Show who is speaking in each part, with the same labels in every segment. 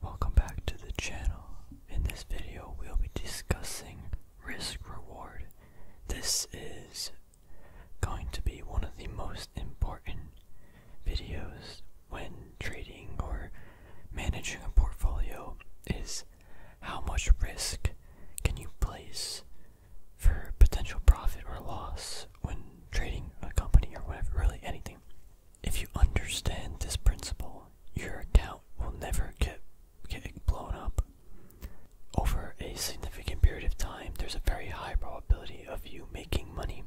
Speaker 1: Welcome back to the channel. In this video, we'll be discussing risk reward. This is going to be one of the most important videos when trading or managing a portfolio is how much risk can you place for potential profit or loss when trading a company or whatever, really anything. If you understand this principle, your account will never get get blown up. Over a significant period of time, there's a very high probability of you making money.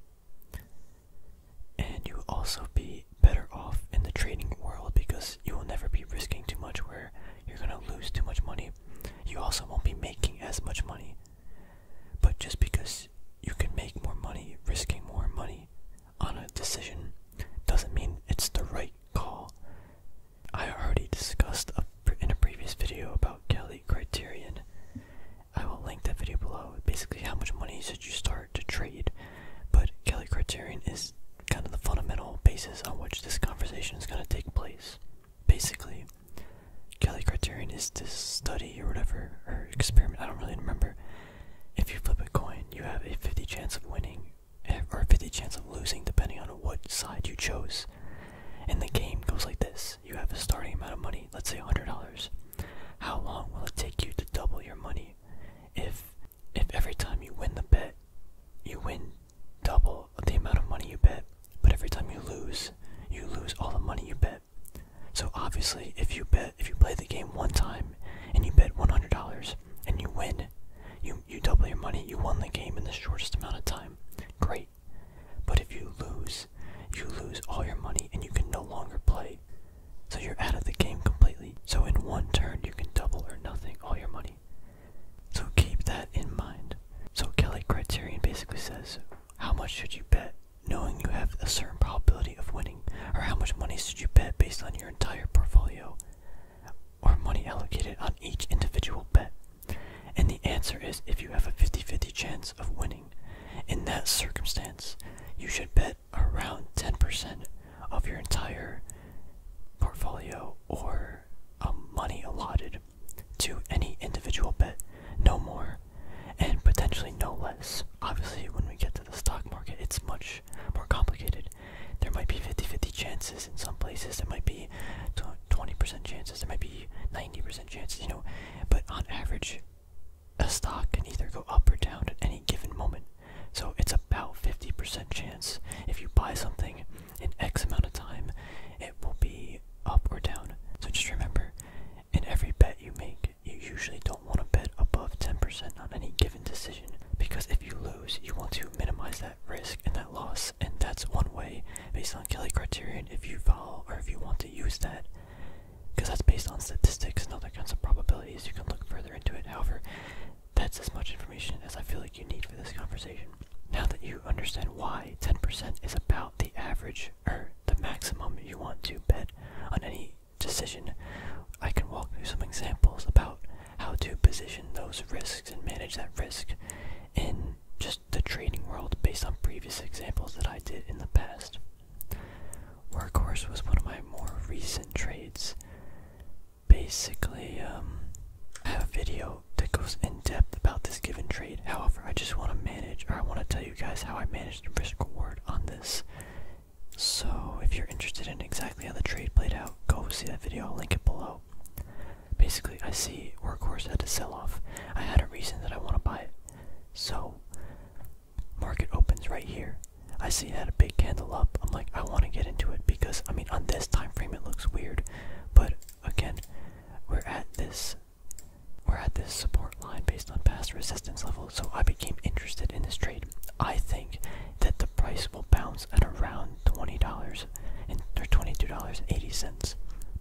Speaker 1: And you will also be better off in the trading world because you will never be risking too much where you're going to lose too much money. You also won't be making as much money. But just because you can make more money risking more money on a decision doesn't mean it's the right call. I already discussed a, in a previous video about Kelly Criterion. I will link that video below. Basically, how much money should you start to trade? But Kelly Criterion is kind of the fundamental basis on which this conversation is going to take place. Basically, Kelly Criterion is this study or whatever, or experiment, I don't really remember, if you flip a coin, you have a 50 chance of winning eh, or a 50 chance of losing depending on what side you chose. And the game goes like this. You have a starting amount of money, let's say $100. How long will it take you to double your money? If if every time you win the bet, you win double the amount of money you bet, but every time you lose, you lose all the money you bet. So obviously, if you bet, if you play the game one time and you bet $100 and you win, you you double your money. You won the game in the shortest amount of time. Great. But if you lose, you lose all your money and you can no longer play. So you're out of the game completely. So in one turn, you can double or nothing all your money. So keep that in mind. So Kelly Criterion basically says, how much should you bet knowing you have a certain probability of winning, or how much money should you bet based on your entire portfolio, or money allocated on each individual bet? And the answer is if you have a 50 50 chance of winning. In that circumstance, you should bet around 10% of your entire portfolio or um, money allotted to any individual bet, no more and potentially no less. Obviously, when we get to the stock market, it's much more complicated. There might be 50 50 chances in some places, there might be 20% chances, there might be 90% chances, you know, but on average, a stock can either go up or down at any given moment. So it's about 50% chance if you buy something in X amount of time, it will be up or down. So just remember, in every bet you make, you usually don't want to bet above 10% on any given decision because if you lose, you want to minimize that risk and that loss, and that's one way based on Kelly criterion if you follow or if you want to use that because that's based on statistics and other kinds of probabilities. You can look further into it. However, that's as much information as I feel like you need for this conversation. Now that you understand why 10% is about the average or the maximum you want to bet, on any decision, I can walk through some examples about how to position those risks and manage that risk in just the trading world based on previous examples that I did in the past. Workhorse was one of my more recent trades. Basically, um, I have a video that goes in depth about this given trade. However, I just want to manage, or I want to tell you guys how I manage risk reward on this. So, if you're interested in exactly how the trade played out, go see that video, I'll link it below. Basically, I see Workhorse had to sell off. I had a reason that I want to buy it. So, market opens right here. I see it had a big candle up. I'm like, I want to get into it because, I mean, on this time frame it looks weird. But, again, we're at this we're at this support line based on past resistance levels, so I became interested in this trade. I think that the price will bounce at around $20 and or $22.80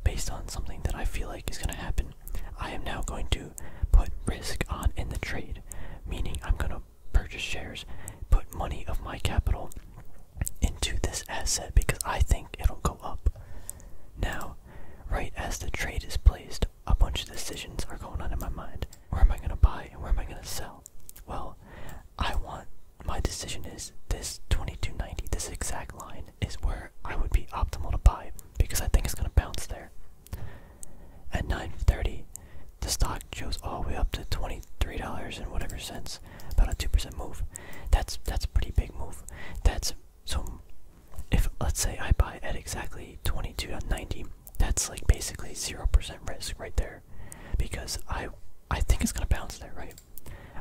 Speaker 1: based on something that I feel like is going to happen. I am now going to put risk on in the trade, meaning I'm going to purchase shares, put money of my capital into this asset because I think it'll go up. Now, right as the trade is placed, a bunch of decisions are going on in my mind. Where am I going to buy and where am I going to sell? Well, I want my decision is this 2290, this exact line is where I would be optimal to buy because I think it's going to bounce there. At 930, the stock goes all the way up to $23 and whatever cents, about a 2% move. That's that's a pretty big move. That's so if let's say I buy at exactly 22.90, that's like basically 0% risk right there because I I think it's going to bounce there, right?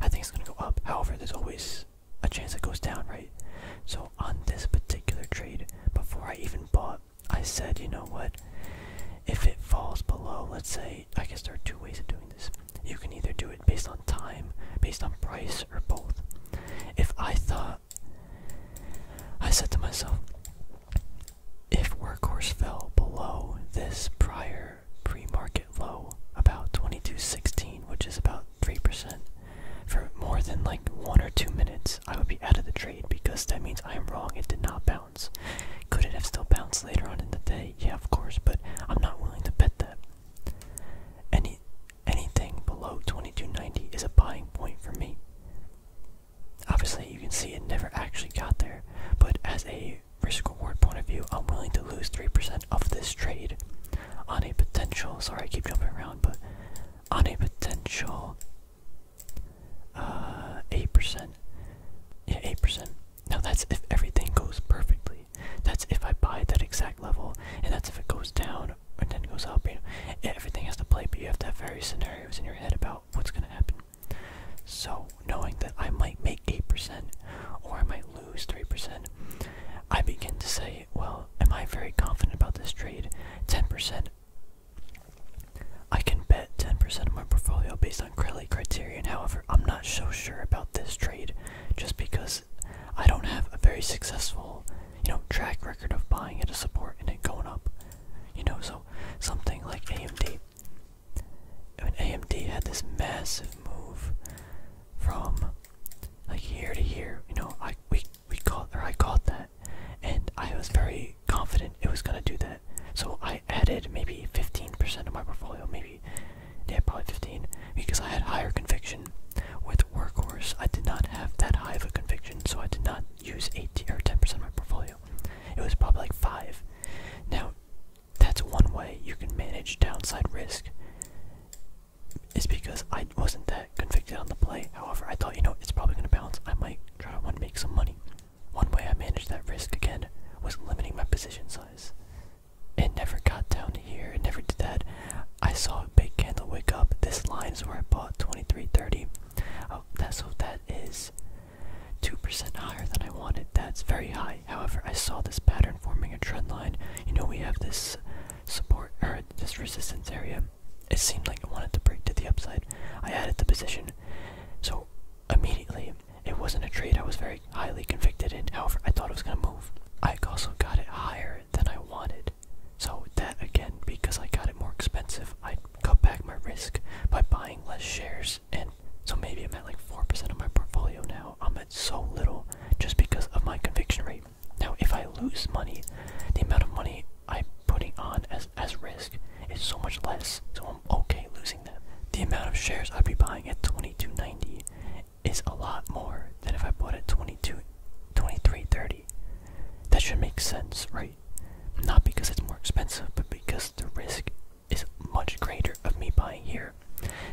Speaker 1: I think it's going to go up. However, there's always a chance it goes down, right? So on this particular trade, before I even bought, I said, you know what? If it falls below, let's say, I guess there are two ways of doing this. You can either do based on time, based on price, or both. If I thought, I said to myself, if workhorse fell below this prior pre-market low, about 22.16, which is about 3%, for more than like one or two minutes, I would be out of the trade because that means I am wrong. It did not bounce. Could it have still bounced later on in the day? Yeah, of course, but I'm not willing to bet that. Any anything below 2290 is a buying point for me. Obviously, you can see it never actually got there, but as a risk reward point of view, I'm willing to lose 3% of this trade on a potential, sorry I keep jumping around, but on a potential 8%. Uh, yeah, 8%. Now that's if everything goes perfectly. That's if I buy at that exact level, and that's if it goes down and then goes up. You know, everything has to play, but you have to have various scenarios in your head about what's going to happen. So knowing that I might make eight percent or I might lose three percent, I begin to say, well, am I very confident about this trade? Ten percent. I can bet 10% of my portfolio based on credit criteria, however, I'm not so sure about this trade just because I don't have a very successful, you know, track record of buying at a support and it going up. You know, so something like AMD. I mean, AMD had this massive move from like year to year, you know, I we we caught or I caught that, and I was very confident it was gonna do that. So I added maybe 15% of my portfolio, maybe yeah, probably 15, because I had higher conviction. With Workhorse, I did not have that high of a conviction, so I did not use 8 or 10% of my portfolio. It was probably like 5. Now, that's one way you can manage downside risk. Is because I wasn't that convicted on the play. However, I thought, you know, it's probably going to bounce. I might try to make some money. One way I managed that risk again was limiting my position size. It never got down here. It never did that. I saw a big candle wake up. This line is where I bought 23.30. Oh, that's so that is 2% higher than I wanted. That's very high. However, I saw this pattern forming a trend line. You know, we have this support or this resistance area. It seemed like it wanted to break to the upside. I added the position. So immediately, it wasn't a trade I was very highly convicted in. However, I thought it was gonna move. I also got it higher than I wanted. So that again, because I got it more expensive, I cut back my risk by buying less shares and so maybe I'm at like 4% of my portfolio now. I'm at so little just because of my conviction rate. Now if I lose money, the amount of money I'm putting on as as risk is so much less. So I'm okay losing that. The amount of shares I'd be buying at 22.90 is a lot more than if I bought at 22 23 30 that should make sense right not because it's more expensive but because the risk is much greater of me buying here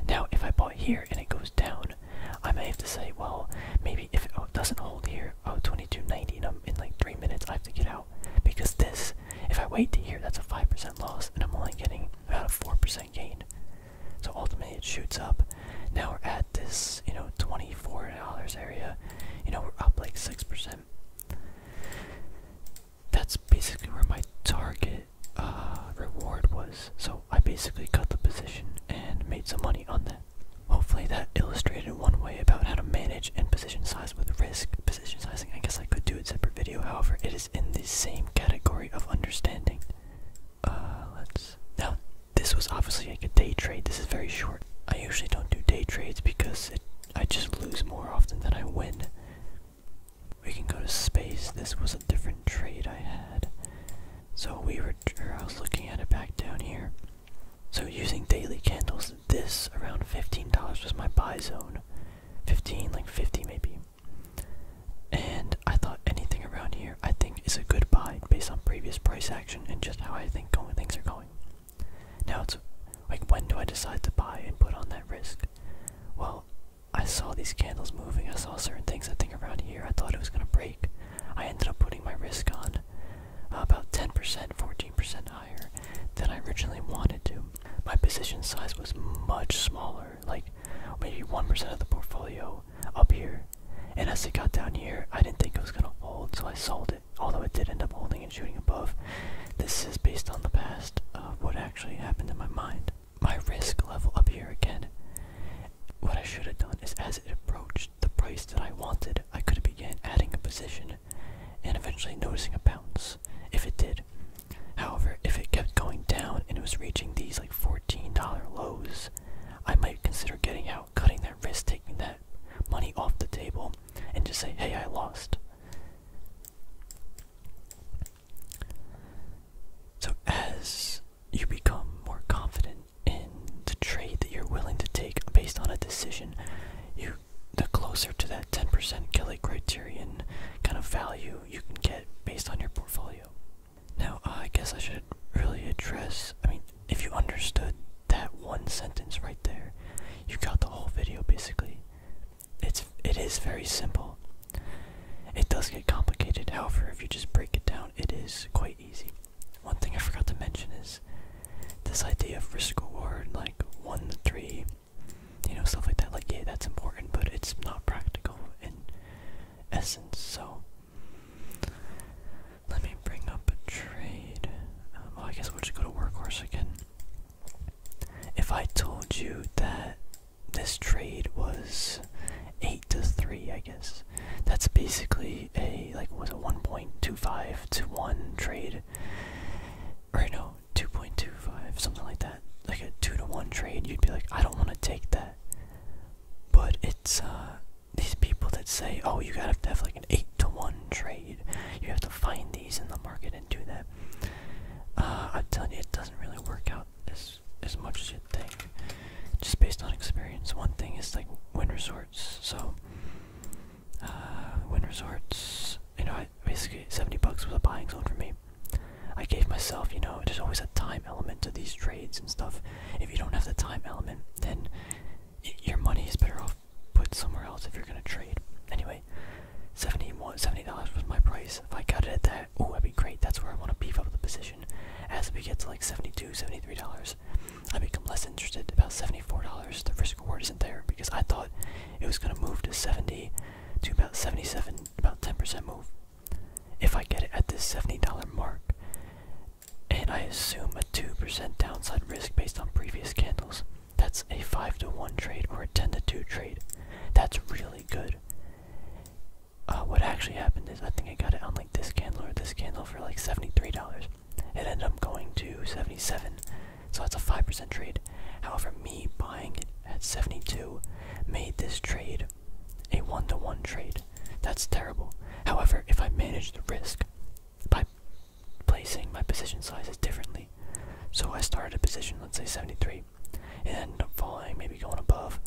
Speaker 1: now if I bought here and it goes down I may have to say well maybe if it doesn't hold here oh 22.90 and in like three minutes I have to get out because this if I wait to here that's a 5% loss and I'm only getting about a 4% gain. So ultimately, it shoots up. Now we're at this, you know, twenty-four dollars area. You know, we're up like six percent. That's basically where my target uh, reward was. So I basically cut the position and made some money on that. Hopefully, that illustrated one way about how to manage and position size with risk. Position sizing, I guess I could do it separate video, however, it is in the same category of understanding. Uh, let's. Now, this was obviously like a day trade. This is very short. I usually don't do day trades because I just lose more often than I win. We can go to space. This was a different trade I had. So we were. I was looking at it back down here. So using daily candles, this around fifteen dollars was my buy zone. Fifteen, like fifty maybe. And I thought anything around here I think is a good buy based on previous price action and just how I think things are going. Now it's like when do I decide to buy and put on that risk? Well, I saw these candles moving, I saw certain things I think around here, I thought it was gonna break. I ended up putting my risk on uh, about 10%, 14% higher than I originally wanted to. My position size was much smaller like maybe 1% of the portfolio up here. And as it got down here, I didn't think it was going to hold, so I sold it. Although it did end up holding and shooting above. This is based on the past of what actually happened in my mind. My risk level up here again. What I should have done is as it approached the price that I wanted, I could have began adding a position and eventually noticing a bounce. If it did, However, if it kept going down and it was reaching these like $14 lows, I might consider getting out, cutting that risk, taking that money off the table, and just say, hey, I lost. So, as you become more confident in the trade that you're willing to take based on a decision, you the closer to that 10% Kelly criterion kind of value you can get based on your portfolio. Now, I guess I should really address. I mean, if you understood that one sentence right there, you got the whole video basically. It's it is very simple. It does get complicated. However, if you just break it down, it is quite easy. One thing I forgot to mention is this idea of risk reward, like one to three you know, stuff like that. Like, yeah, that's important, but it's not practical in essence. So, let me bring up a trade. well, um, oh, I guess we should go to Workhorse again. If I told you that this trade was eight to three, I guess that's basically a like was it one point two five to one trade, or no, two point two five, something like that like a two to one trade, you'd be like, I don't want to take that. But it's uh, these people that say, oh, you gotta have like an eight to one trade. You have to find these in the market and do that. Uh, I'm telling you, it doesn't really work out as as much as you think. Just based on experience, one thing is like win resorts. So, uh, win resorts. You know, basically seventy bucks was a buying zone for me. I gave myself, you know, there's always a time element to these trades and stuff. If you don't have the time element, then your money is better off put somewhere else if you're gonna trade. Anyway, $71, $70 was my price. If I cut it at that, oh, that'd be great. That's where I want to beef up the position. As we get to like 72 $73, I become less interested. About $74, the risk reward isn't there because I thought it was gonna move to 70 to about 77, about 10% move. If I get it at this $70 mark, and I assume a 2% downside risk based on previous candles, that's a 5 to 1 trade or a 10 to 2 trade. That's really good. Uh, what actually happened is I think I got it on like this candle or this candle for like $73. It ended up going to 77 so that's a 5% trade. However, me buying it at 72 made this trade a one to one trade. That's terrible. However, if I manage the risk by placing my position sizes differently, so I started a position, let's say 73, and ended up falling, maybe going above.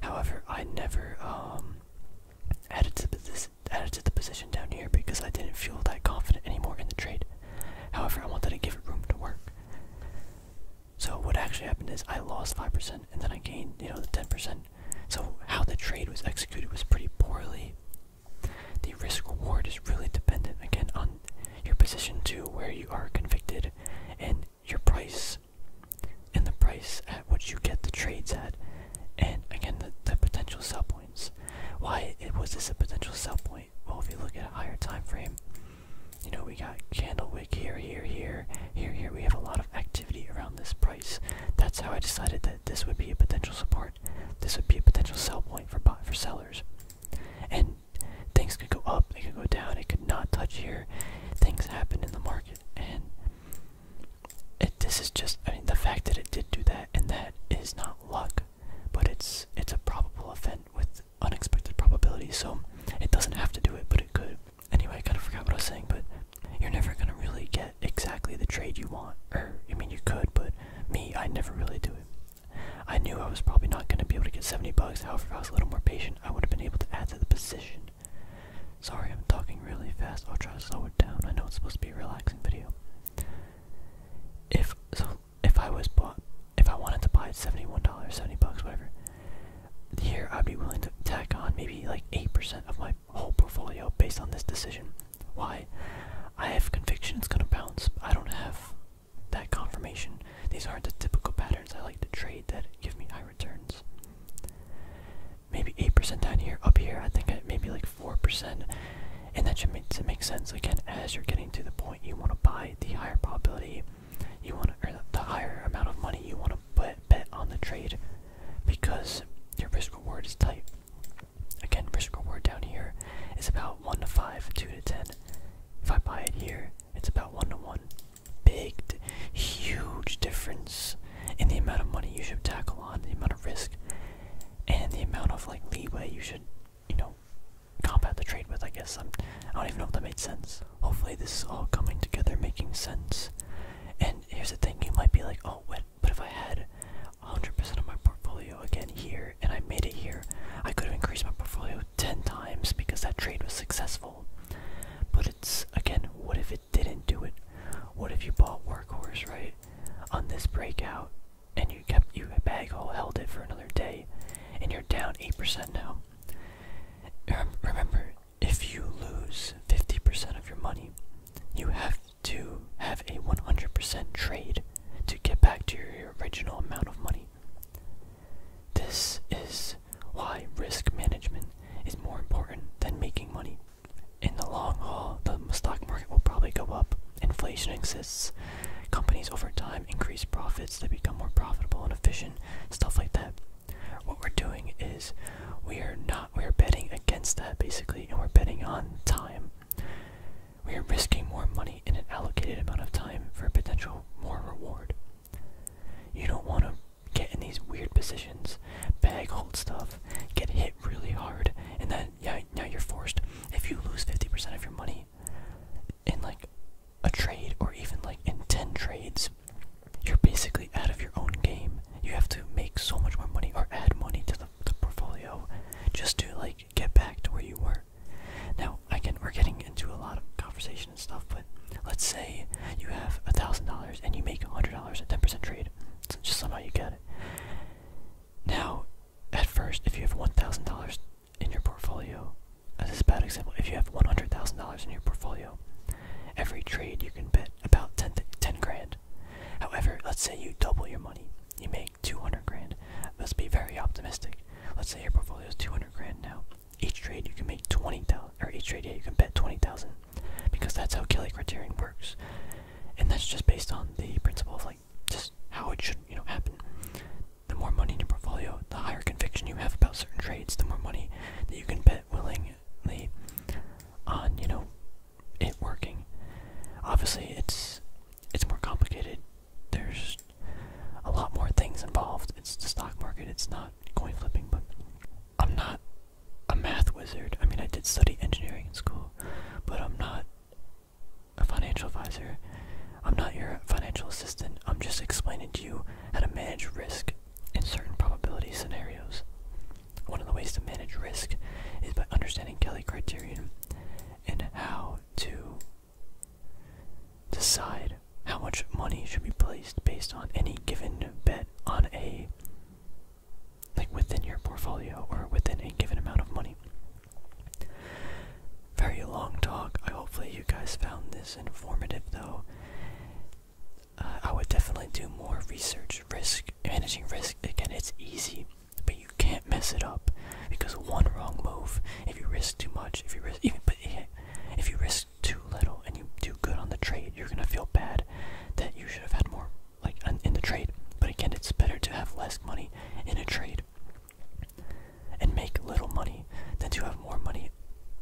Speaker 1: However, I never um, added to this added to the position down here because I didn't feel that confident anymore in the trade. However, I wanted to give it room to work. So what actually happened is I lost five percent and then I gained, you know, the ten percent. So how the trade was executed was pretty poorly. The risk reward is really dependent again on your position to where you are convicted and your price and the price at which you get the trades at and again the, the potential sell points. Why it was this a potential sell point? Well, if you look at a higher time frame, you know, we got Candlewick here, here, here, here, here. We have a lot of activity around this price. That's how I decided that this would be a potential support. This would be a potential sell point for buy for sellers. And things could go up, it could go down, it could not touch here. Things happen in the market, and it, this is just. I mean, the fact that it did do that, and that is not luck, but it's it's a probable event with unexpected probabilities, so it doesn't have to do it, but it could. Anyway, I kind of forgot what I was saying, but you're never gonna really get exactly the trade you want. Or, I mean, you could, but me, I never really do it. I knew I was probably not gonna be able to get 70 bucks, however, if I was a little more patient, I would have been able to add to the position. Sorry, I'm talking really fast. I'll try to slow it down. I know it's supposed to be a relaxing video. If so, if I was bought, if I wanted to buy at seventy-one dollars, seventy bucks, whatever, here I'd be willing to tack on maybe like eight percent of my whole portfolio based on this decision. Why? I have conviction it's gonna bounce. I don't have that confirmation. These aren't the typical patterns I like to trade that give me high returns. Maybe eight percent down here, up here. I think I, maybe like four percent, and that should make sense again as you're getting to the point you want to buy the higher probability you want to, or the higher amount of money you want to put bet on the trade, because your risk reward is tight. Again, risk reward down here is about one to five, two to ten. If I buy it here, it's about one to one. Big, huge difference in the amount of money you should tackle on, the amount of risk, and the amount of like leeway you should, you know, combat the trade with, I guess. I'm, I do not even know if that made sense. Hopefully, this is all coming together, making sense. And here's the thing you might be like, oh, what? But if I had 100% of my portfolio again here and I made it here, I could have increased my portfolio 10 times because that trade was successful. But it's, again, what if it didn't do it? What if you bought Workhorse, right? On this breakout and you? you kept you bag hole held it for another day, and you're down 8% now. Remember, if you lose 50% of your money, you have to have a 100% trade to get back to your original amount of money. This is why risk management is more important than making money. In the long haul, the stock market will probably go up. Inflation exists. Companies over time increase profits, they become more profitable and efficient, stuff like that. What we're doing is we are not we are betting against that basically and we're betting on time. We are risking more money in an allocated amount of time for a potential more reward. You don't want to get in these weird positions, bag hold stuff, get hit really hard, and then yeah now you're forced. If you lose 50% of your money, in like a trade or even like in 10 trades, you're basically out of your own game. You have to make so much more money or add money to the, portfolio just to like get back to where you were. Now, again, we're getting into a lot of conversation and stuff, but let's say you have a thousand dollars and you make a hundred dollars at ten percent trade. So just somehow you get it. Now, at first, if you have one thousand dollars in your portfolio as a bad example if you have $100000 in your portfolio every trade you can bet about 10, 10 grand however let's say you double your money you make 200 grand let be very optimistic let's say your portfolio is 200 grand now each trade you can make 20000 or each trade you can bet 20000 because that's how kelly criterion works and that's just based on the principle of like just how it should you know happen the more money in your portfolio, the higher conviction you have about certain trades, the more money that you can bet willingly on, you know, it working. Obviously, it's it's more complicated. There's a lot more things involved. It's the stock market. It's not coin flipping, but I'm not a math wizard. I mean, I did study engineering in school, but I'm not a financial advisor. I'm not your financial assistant. I'm just explaining to you how to manage risk in certain probability scenarios. One of the ways to manage risk is by understanding Kelly criterion and how to decide how much money should be placed based on any given bet on a like within your portfolio or within a given amount of money. Very long talk. I hopefully you guys found this informative though. Uh, I would definitely do more research, risk, managing risk. Again, it's easy, but you can't mess it up because one wrong move, if you risk too much, if you risk even but if you risk too little and you do good on the trade, you're gonna feel bad that you should have had more like in the trade. But again, it's better to have less money in a trade and make little money than to have more money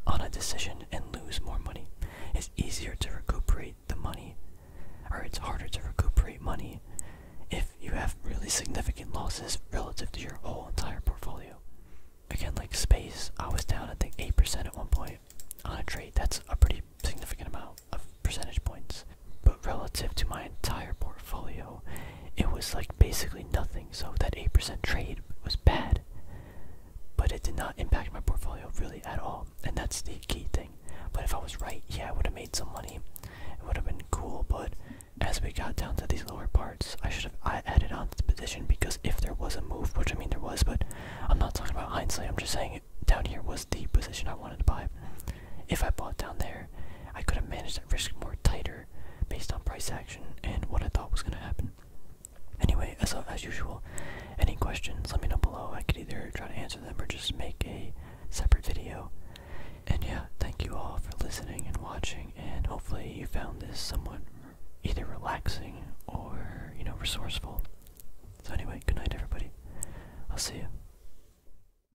Speaker 1: on a decision and lose more money. It's easier to recuperate the money, or it's harder to recuperate money if you have really significant losses relative to your whole entire portfolio. Again, like space, I was down I think 8% at one point on a trade. That's a pretty significant amount of percentage points. But relative to my entire portfolio, it was like basically nothing. So that 8% trade was bad. But it did not impact my portfolio really at all. And that's the key thing. But if I was right, yeah, I would have made some money. It would have been cool. But as we got down to these lower parts, I should have I added on to the position because if there was a move, which I mean there was, but I'm not talking about hindsight. I'm just saying down here was the position I wanted to buy. If I bought down there, I could have managed risk more tighter based on price action and what I thought was going to happen. Anyway, as, as usual, any questions, let me know below. I could either try to answer them or just make a separate video. And yeah, thank you all for listening and watching, and hopefully you found this somewhat either relaxing or, you know, resourceful. So anyway, good night everybody. I'll see you.